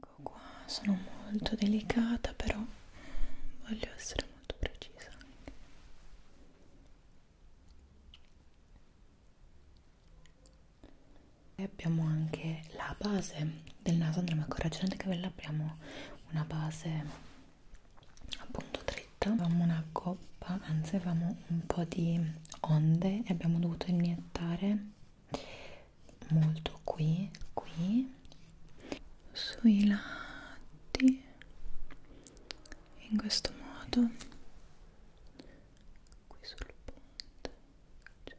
Ecco qua, sono molto delicata però voglio essere molto precisa anche. E abbiamo anche la base del naso, andremo a correggere anche quella, abbiamo una base appunto dritta, avevamo una coppa, anzi avevamo un po' di onde e abbiamo dovuto iniettare molto qui, qui, sui lati, in questo modo, qui sul ponte.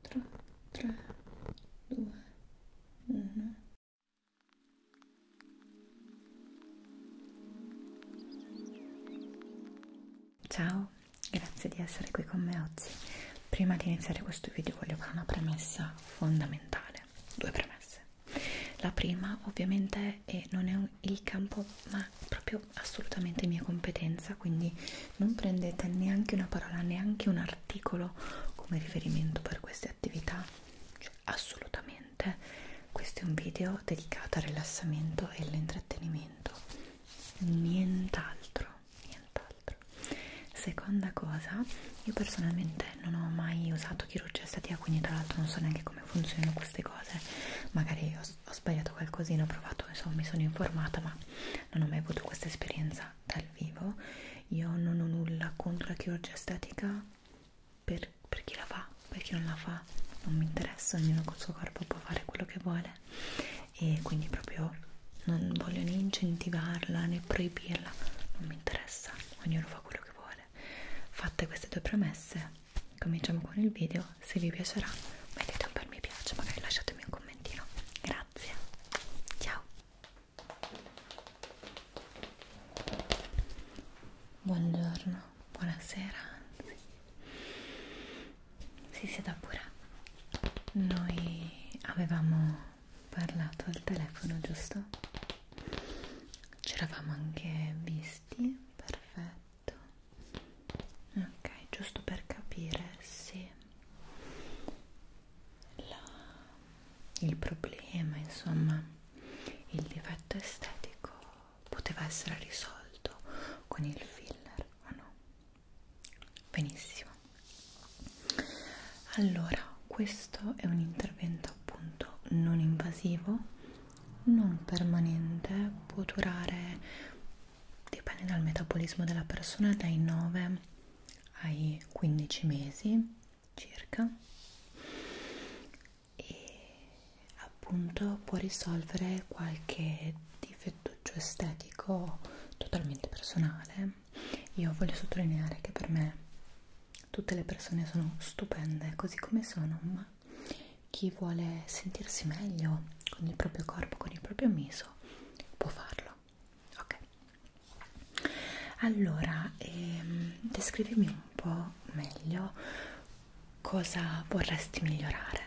Quattro, tre, due, uno. Ciao, grazie di essere qui con me oggi. Prima di iniziare questo video voglio fare una premessa fondamentale, due premesse. La prima ovviamente è, non è un, il campo, ma proprio assolutamente mia competenza, quindi non prendete neanche una parola, neanche un articolo come riferimento per queste attività cioè, assolutamente questo è un video dedicato al rilassamento e all'intrattenimento nient'altro nient'altro seconda cosa io personalmente non ho mai usato chirurgia estetica quindi tra l'altro non so neanche come funzionano queste cose magari ho, ho sbagliato qualcosina ho provato insomma mi sono informata ma non ho mai avuto questa esperienza dal vivo io non ho nulla contro la chirurgia estetica per, per chi la fa, per chi non la fa non mi interessa, ognuno col suo corpo può fare quello che vuole e quindi proprio non voglio né incentivarla né proibirla, non mi interessa, ognuno fa quello che vuole. Fatte queste due premesse, cominciamo con il video, se vi piacerà mettete un bel mi piace, magari lasciatemi un commentino. Grazie, ciao! Buongiorno, buonasera, anzi. Si sieda pure. Noi avevamo parlato al telefono, giusto? Ci eravamo anche visti, perfetto. Ok, giusto per capire se la, il problema, insomma il difetto estetico poteva essere risolto con il filler o no? benissimo allora questo è un intervento appunto non invasivo non permanente può durare dipende dal metabolismo della persona dai 9 ai 15 mesi circa e appunto può risolvere qualche difettuccio estetico totalmente personale io voglio sottolineare che per me tutte le persone sono stupende così come sono ma chi vuole sentirsi meglio con il proprio corpo con il proprio viso può farlo ok allora ehm, descrivimi un po' meglio cosa vorresti migliorare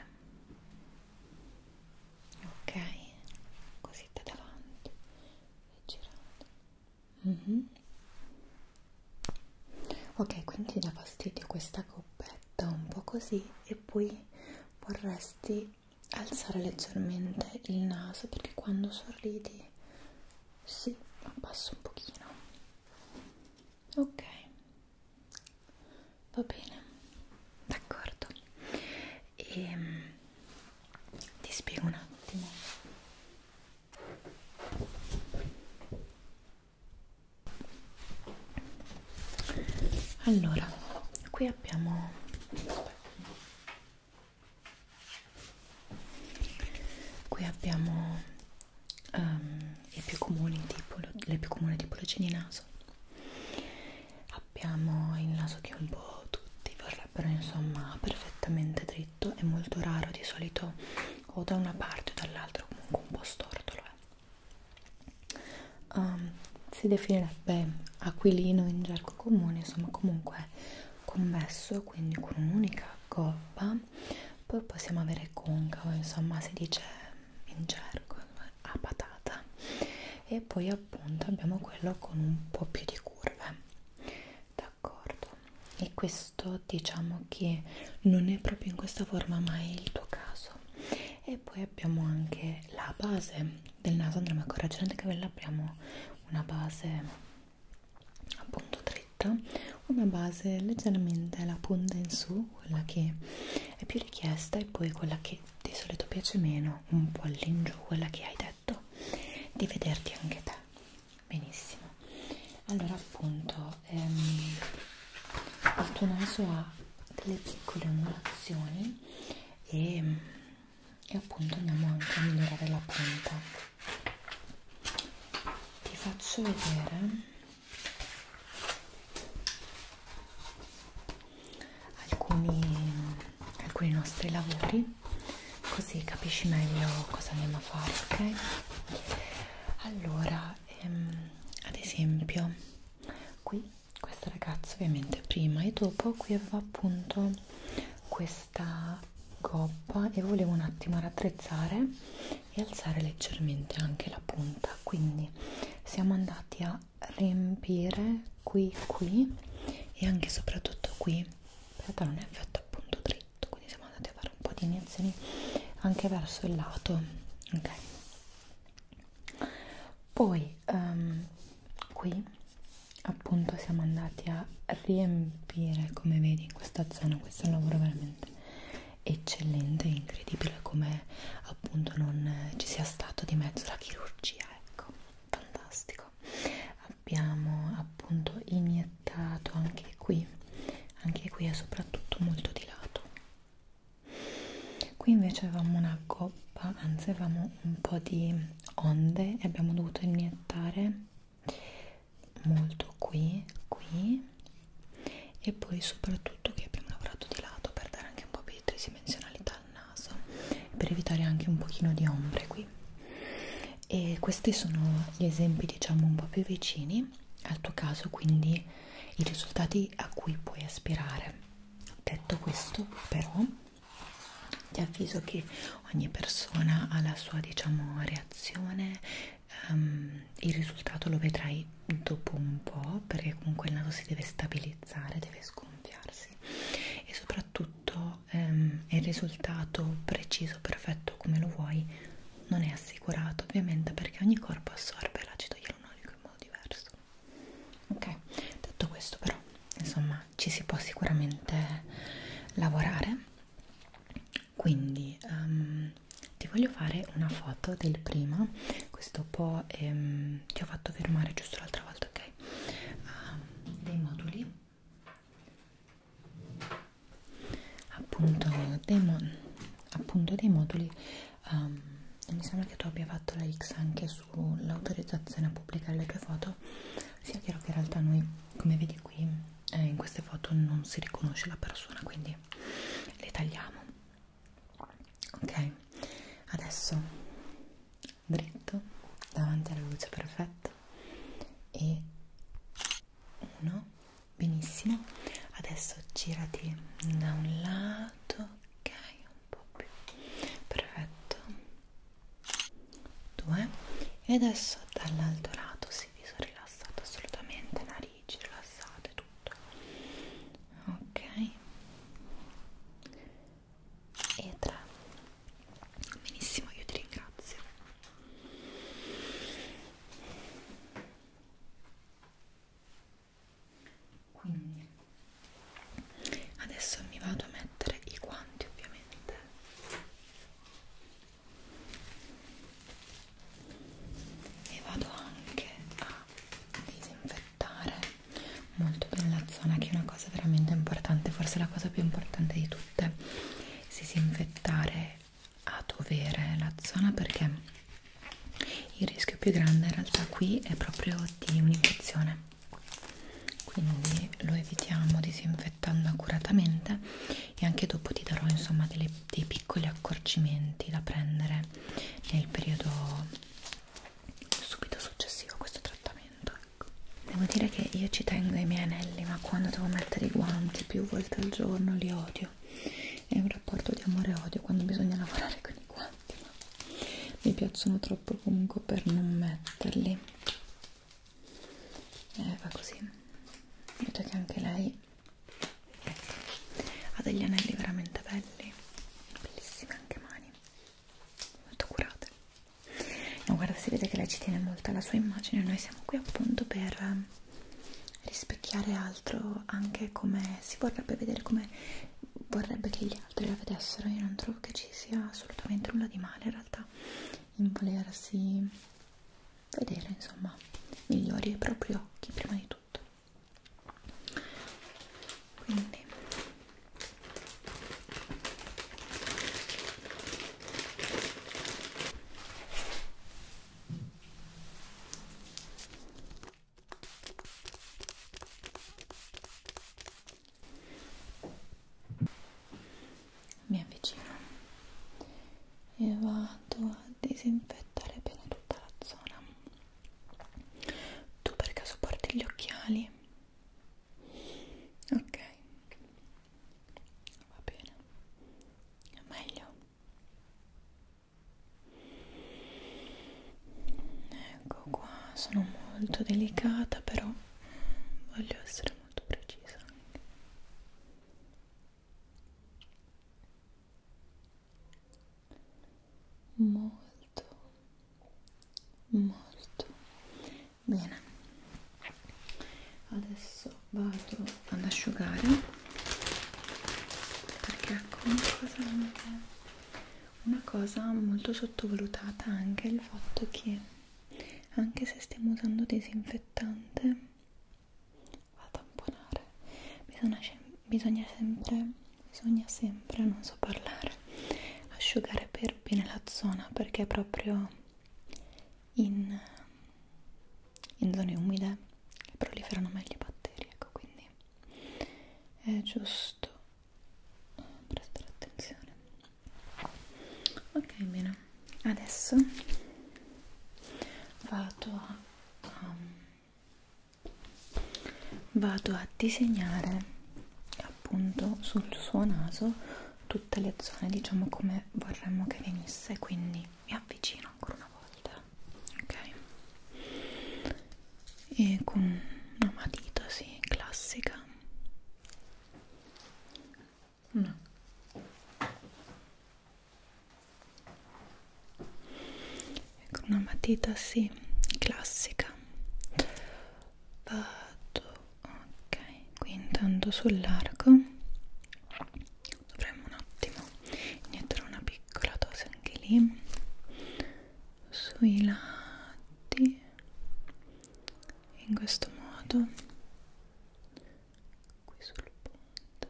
ok così da davanti e girando mm -hmm. ok quindi dà fastidio questa coppetta un po' così e poi vorresti alzare leggermente il naso perché quando sorridi sì, abbasso un pochino. Ok, va bene, d'accordo. E ehm, ti spiego un attimo. Allora, qui abbiamo... Aspetta qui abbiamo um, ehm, i più comuni tipo, le più comuni tipologie di naso abbiamo il naso che un po' tutti vorrebbero insomma perfettamente dritto è molto raro di solito o da una parte o dall'altra comunque un po' stortolo eh. um, si definirebbe aquilino in gergo comune insomma comunque convesso quindi con un'unica gobba poi possiamo avere concavo insomma si dice in gergo a patata e poi appunto abbiamo quello con un po' più di curve d'accordo e questo diciamo che non è proprio in questa forma mai il tuo caso e poi abbiamo anche la base del naso andremo a correggere anche che l'apriamo una base appunto dritta una base leggermente la punta in su quella che è più richiesta e poi quella che di solito piace meno un po' all'ingiù quella che hai detto di vederti anche te benissimo allora appunto ehm, il tuo naso ha delle piccole ondulazioni e, e appunto andiamo anche a migliorare la punta ti faccio vedere alcuni, alcuni nostri lavori così capisci meglio cosa andiamo a fare ok allora ehm, ad esempio qui questa ragazza ovviamente prima e dopo qui aveva appunto questa gobba e volevo un attimo raddrizzare e alzare leggermente anche la punta quindi siamo andati a riempire qui qui e anche soprattutto qui in realtà non è fatto appunto dritto quindi siamo andati a fare un po' di iniezioni anche verso il lato ok poi um, qui appunto siamo andati a riempire come vedi in questa zona questo è un lavoro veramente eccellente incredibile come appunto non eh, ci sia stato di mezzo la chirurgia ecco fantastico abbiamo appunto iniettato anche qui anche qui è soprattutto molto di lato qui invece avevamo una gobba anzi avevamo un po' di onde e abbiamo dovuto iniettare molto qui, qui e poi soprattutto che abbiamo lavorato di lato per dare anche un po' più di tridimensionalità al naso per evitare anche un pochino di ombre qui e questi sono gli esempi diciamo un po' più vicini al tuo caso quindi i risultati a cui puoi aspirare detto questo però ti avviso che ogni persona ha la sua diciamo reazione um, il risultato lo vedrai dopo un po' perché comunque il naso si deve stabilizzare deve sgonfiarsi e soprattutto um, il risultato preciso perfetto come lo vuoi non è assicurato ovviamente perché ogni corpo assorbe l'acido ialuronico in modo diverso ok detto questo però insomma ci si può sicuramente lavorare quindi um, ti voglio fare una foto del prima questo po' ehm, ti ho fatto fermare giusto l'altra volta ok uh, dei moduli appunto dei, mo appunto dei moduli um, mi sembra che tu abbia fatto la X anche sull'autorizzazione a pubblicare le tue foto sia sì, chiaro che in realtà noi come vedi qui eh, in queste foto non si riconosce la persona quindi le tagliamo ok adesso dritto davanti alla luce perfetta e uno benissimo adesso girati da un lato ok un po' più perfetto 2 e adesso dall'altro lato si viso rilassato assolutamente narici rilassate tutto ok e 3 benissimo io ti ringrazio quindi adesso mi vado a mettere i guanti ovviamente e vado anche a disinfettare molto bene la zona che è una cosa veramente importante forse la cosa più importante di tutte disinfettare a dovere la zona perché il rischio più grande in realtà qui è proprio di un'infezione quindi lo evitiamo disinfettando accuratamente e anche dopo ti darò insomma delle, dei piccoli accorgimenti da prendere nel periodo subito successivo a questo trattamento ecco. devo dire che io ci tengo ai miei anelli ma quando devo mettere i guanti più volte al giorno li odio è un rapporto di amore e odio quando bisogna lavorare con i guanti ma mi piacciono troppo comunque per non metterli eh, va così vedo che anche lei ecco, ha degli anelli veramente belli bellissime anche mani molto curate no guarda si vede che lei ci tiene molto alla sua immagine noi siamo qui appunto per rispecchiare altro anche come si vorrebbe vedere come vorrebbe che gli altri la vedessero io non trovo che ci sia assolutamente nulla di male realtà in volersi vedere insomma migliori i propri occhi prima di tutto quindi mi avvicino e vado a disinfettare bene tutta la zona tu per caso porti gli occhiali ok va bene è meglio ecco qua sono molto delicata però voglio essere molto precisa anche. molto molto bene adesso vado ad asciugare perché ecco una cosa anche, una cosa molto sottovalutata anche il fatto che anche se stiamo usando disinfettante va a tamponare bisogna, bisogna sempre bisogna sempre non so parlare asciugare per bene la zona perché è proprio in, in zone umide proliferano meglio i batteri ecco quindi è giusto prestare attenzione ok bene adesso vado a um, vado a disegnare appunto sul suo naso tutte le zone diciamo come vorremmo che venisse quindi mi avvicino ancora una volta ok e con una matita sì classica No. Con ecco, una matita sì, classica. Vado, ok, qui intanto sul largo dovremmo un attimo iniettare una piccola dose anche lì sui lati in questo modo qui sul ponte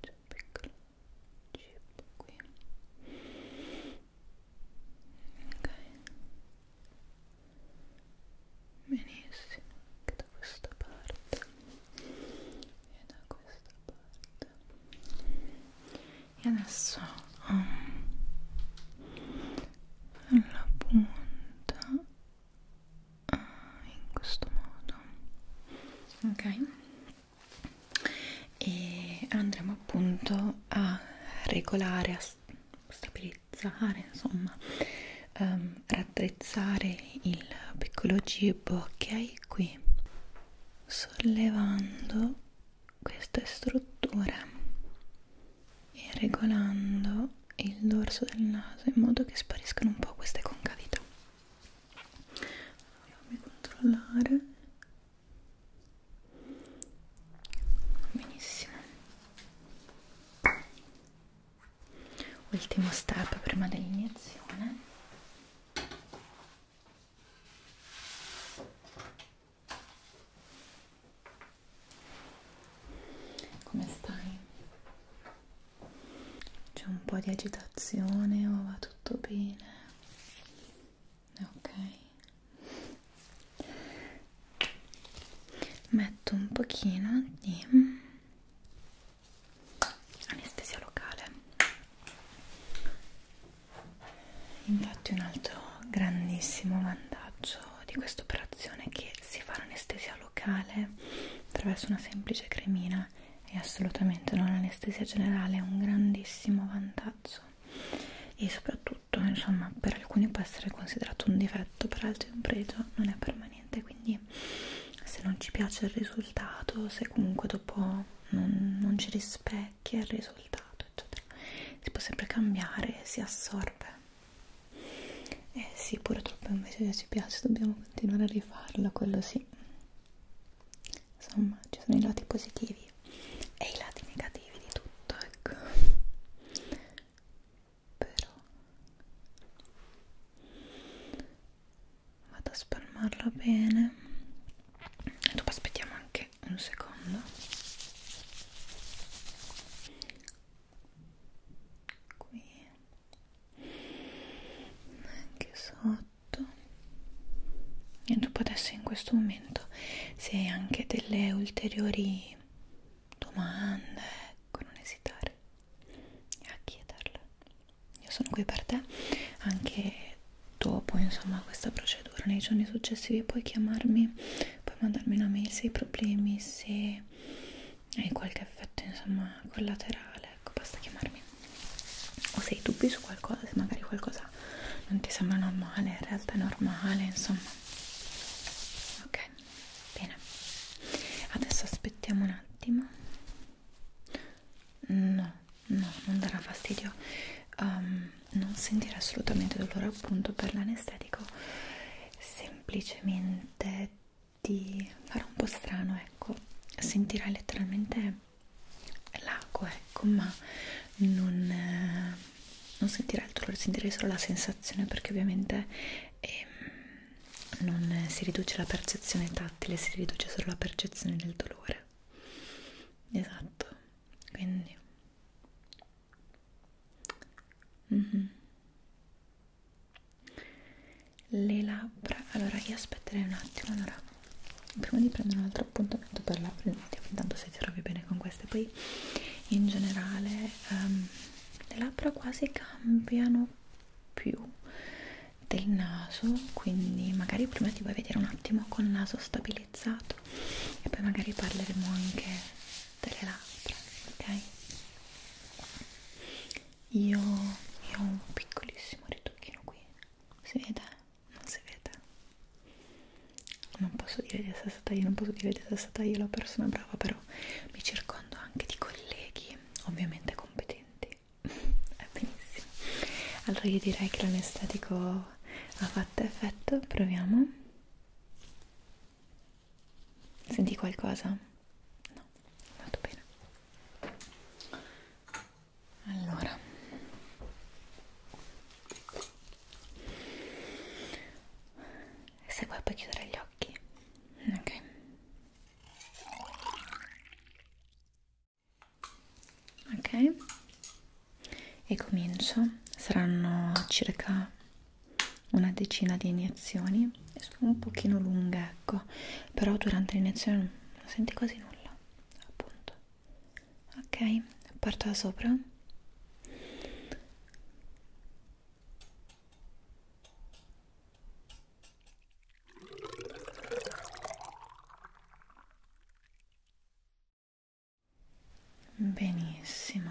c'è un piccolo chip qui ok benissimo anche da questa parte e da questa parte e adesso um, la punta uh, in questo modo ok e andremo appunto a regolare a stabilizzare insomma um, raddrizzare il piccolo gibbo che hai qui sollevando queste strutture e regolando il dorso del naso in modo che spariscano un po' queste concavità fammi controllare benissimo ultimo step prima dell'iniezione come stai? C'è un po' di agitazione o va tutto bene? Ok. Metto un pochino di anestesia locale Infatti un altro grandissimo vantaggio di questa operazione è che si fa l'anestesia locale attraverso una semplice cremina e assolutamente non l'anestesia generale, è un grandissimo vantaggio e soprattutto insomma per alcuni può essere considerato un difetto, per altri un pregio, non è permanente, quindi se non ci piace il risultato, se comunque dopo non, non ci rispecchia vecchia il risultato eccetera si può sempre cambiare si assorbe eh sì purtroppo invece ci piace dobbiamo continuare a rifarlo quello sì insomma ci sono i lati positivi e i lati negativi di tutto ecco però vado a spalmarlo bene dopo aspettiamo anche ok un secondo qui anche sotto e dopo adesso in questo momento se hai anche delle ulteriori domande ecco non esitare a chiederle io sono qui per te anche dopo insomma questa procedura nei giorni successivi puoi chiamarmi puoi mandarmi una mail se hai problemi se hai qualche effetto insomma collaterale ecco basta chiamarmi o se hai dubbi su qualcosa se magari qualcosa non ti sembra normale in realtà è normale insomma ok bene adesso aspettiamo un attimo no no non darà fastidio um, non sentire assolutamente dolore appunto per l'anestetico semplicemente ti farà un po' strano ecco sentirai letteralmente l'acqua ecco ma non, eh, non sentirai il dolore sentirai solo la sensazione perché ovviamente eh, non si riduce la percezione tattile si riduce solo la percezione del dolore esatto quindi Mm -hmm. Le labbra, allora io aspetterei un attimo, allora prima di prendere un altro appuntamento per labbra, vediamo intanto se ti trovi bene con queste, poi in generale um, le labbra quasi cambiano più del naso, quindi magari prima ti vuoi vedere un attimo col naso stabilizzato utilizzato e poi magari parleremo anche delle labbra, ok? Io, io ho un piccolissimo ritocchino qui, si vede? Non si vede? Non posso dire di essere stata io, non posso dire di essere stata io la persona brava, però mi circondo anche di colleghi, ovviamente competenti. È benissimo. Allora io direi che l'anestetico ha fatto effetto, proviamo. Senti qualcosa? No, molto bene. Allora, se vuoi puoi chiudere gli occhi, ok ok e comincio saranno circa una decina di iniezioni sono un pochino lunghe ecco però durante l'iniezione non senti quasi nulla appunto ok parto da sopra Benissimo.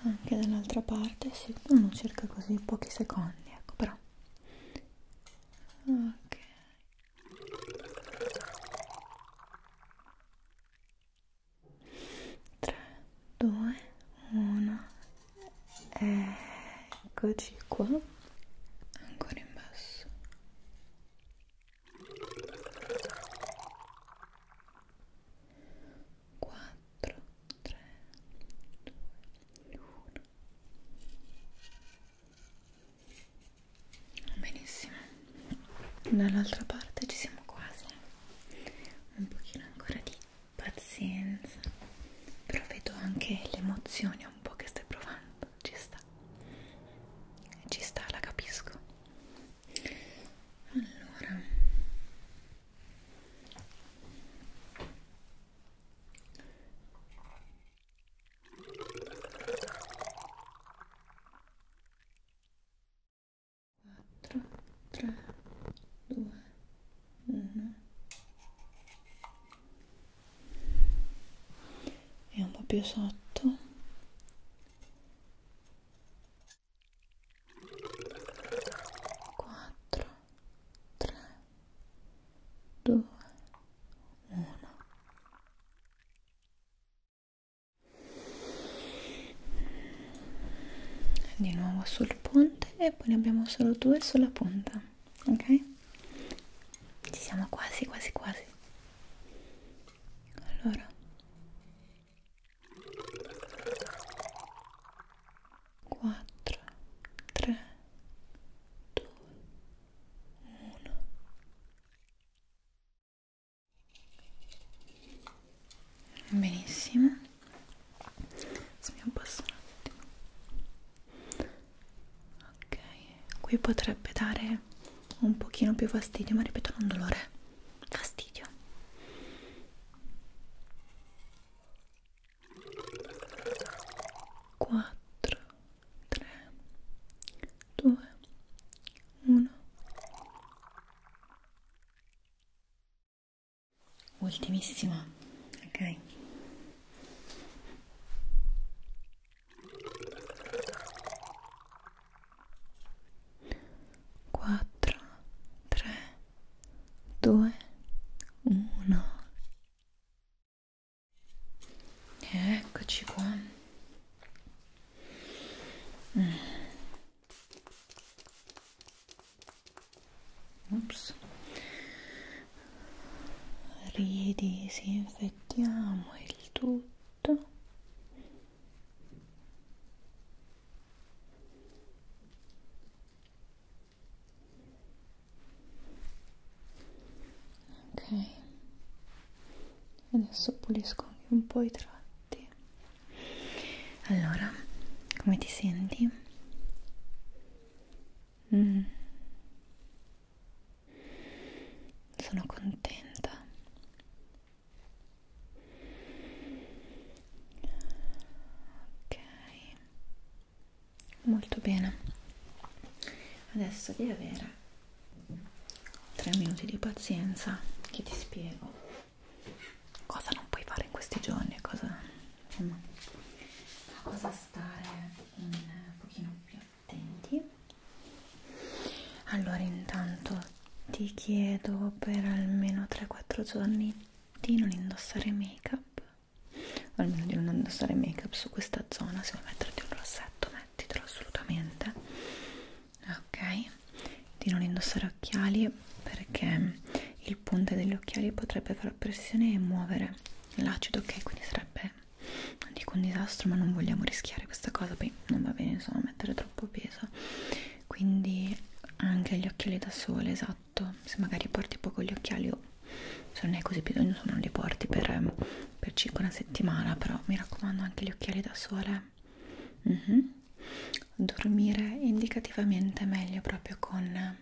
Anche dall'altra parte, sì, uno cerca così pochi secondi, ecco, però. Ok. Tre, due, uno. Eccoci qua. Ancora in basso quattro, tre, due, uno. Benissimo, dall'altra parte ci siamo quasi. Un pochino ancora di pazienza, però vedo anche le emozioni un po' che stai provando ci sta ci sta la capisco allora quattro tre due uno e un po' più sotto quattro tre due uno di nuovo sul ponte e poi ne abbiamo solo due sulla punta ok? Ci siamo quasi, quasi, quasi. Allora. Quattro, tre, due, uno. Benissimo. Se mi abbasso un attimo ok qui potrebbe dare un pochino più fastidio ma ripeto non dolore fastidio quattro tre due uno ultimissima ok quattro, tre, due, uno. Eccoci qua. Mm. Ops ridisinfettiamo il tutto ok adesso pulisco anche un po' i tratti allora come ti senti? Mm sono contenta ok molto bene adesso devi avere tre minuti di pazienza che ti spiego cosa non puoi fare in questi giorni cosa insomma a cosa stare un pochino più più attenti allora intanto ti chiedo per almeno 3-4 giorni di non indossare make up o almeno di non indossare make up su questa zona se vuoi metterti un rossetto mettitelo assolutamente ok di non indossare occhiali perché il punto degli occhiali potrebbe far pressione e muovere l'acido ok quindi sarebbe non dico un disastro ma non vogliamo rischiare questa cosa poi non va bene insomma mettere troppo peso quindi anche gli occhiali da sole esatto se magari porti poco gli occhiali o oh, se non hai così bisogno insomma non li porti per, ehm, per circa una settimana però mi raccomando anche gli occhiali da sole mm -hmm. dormire indicativamente meglio proprio con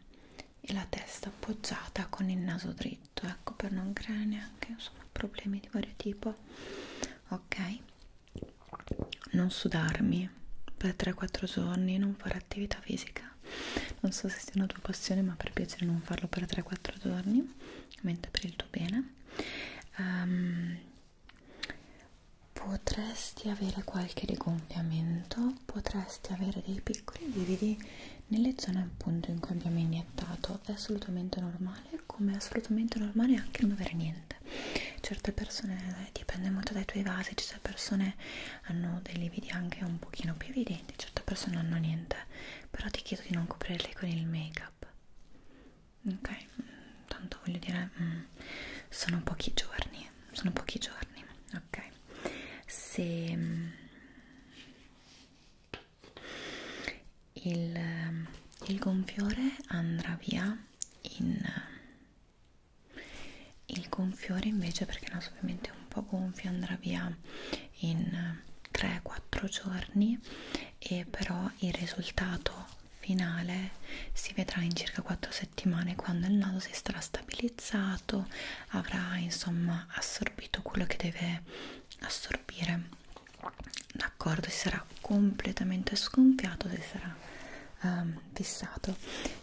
la testa appoggiata con il naso dritto tutto ecco per non creare neanche insomma problemi di vario tipo ok non sudarmi per 3-4 giorni non fare attività fisica non so se sia una tua passione ma per piacere non farlo per 3-4 giorni mentre per il tuo bene um, potresti avere qualche rigonfiamento potresti avere dei piccoli lividi nelle zone appunto in cui abbiamo iniettato è assolutamente normale come è assolutamente normale anche non avere niente certe persone eh, dipende molto dai tuoi vasi certe persone hanno dei lividi anche un pochino più evidenti certe persone non hanno niente però ti chiedo di non coprirli con il make up ok mm, tanto voglio dire mm, sono pochi giorni sono pochi giorni ok se mm, il, il gonfiore andrà via in il gonfiore invece perché il naso ovviamente è un po' gonfio andrà via in 3-4 giorni e però il risultato finale si vedrà in circa 4 settimane quando il naso si starà stabilizzando passato avrà insomma assorbito quello che deve assorbire d'accordo si sarà completamente sgonfiato si sarà um, fissato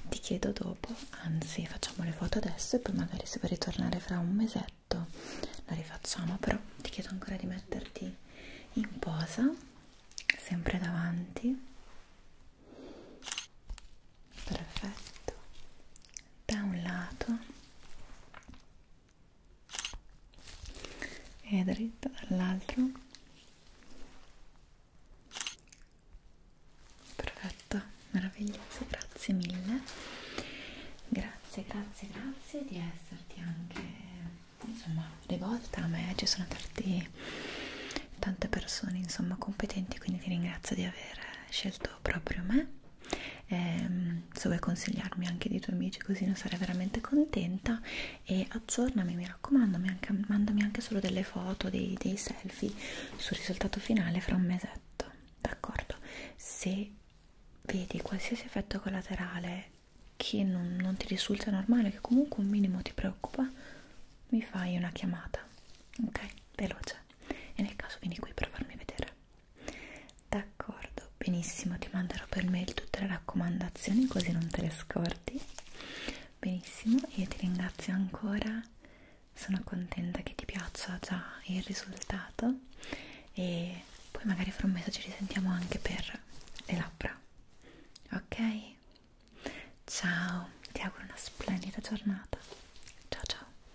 ti chiedo dopo anzi facciamo le foto adesso e poi magari se vuoi ritornare fra un mesetto la rifacciamo però ti chiedo ancora di metterti in posa sempre davanti perfetto da un lato e dritto dall'altro perfetto meraviglioso grazie mille grazie grazie grazie di esserti anche insomma rivolta a me ci sono tanti tante persone insomma competenti quindi ti ringrazio di aver scelto proprio me eh, se vuoi consigliarmi anche dei tuoi amici così ne sarei veramente contenta e aggiornami mi raccomando mi anche, mandami anche solo delle foto dei, dei selfie sul risultato finale fra un mesetto d'accordo se vedi qualsiasi effetto collaterale che non, non ti risulta normale che comunque un minimo ti preoccupa mi fai una chiamata ok veloce cose e nel caso vieni qui per farmi vedere d'accordo benissimo ti manderò per mail tutte le raccomandazioni così non te le scordi benissimo io ti ringrazio ancora sono contenta che ti piaccia già il risultato e poi magari fra un mese ci risentiamo anche per le labbra ok ciao ti auguro una splendida giornata ciao ciao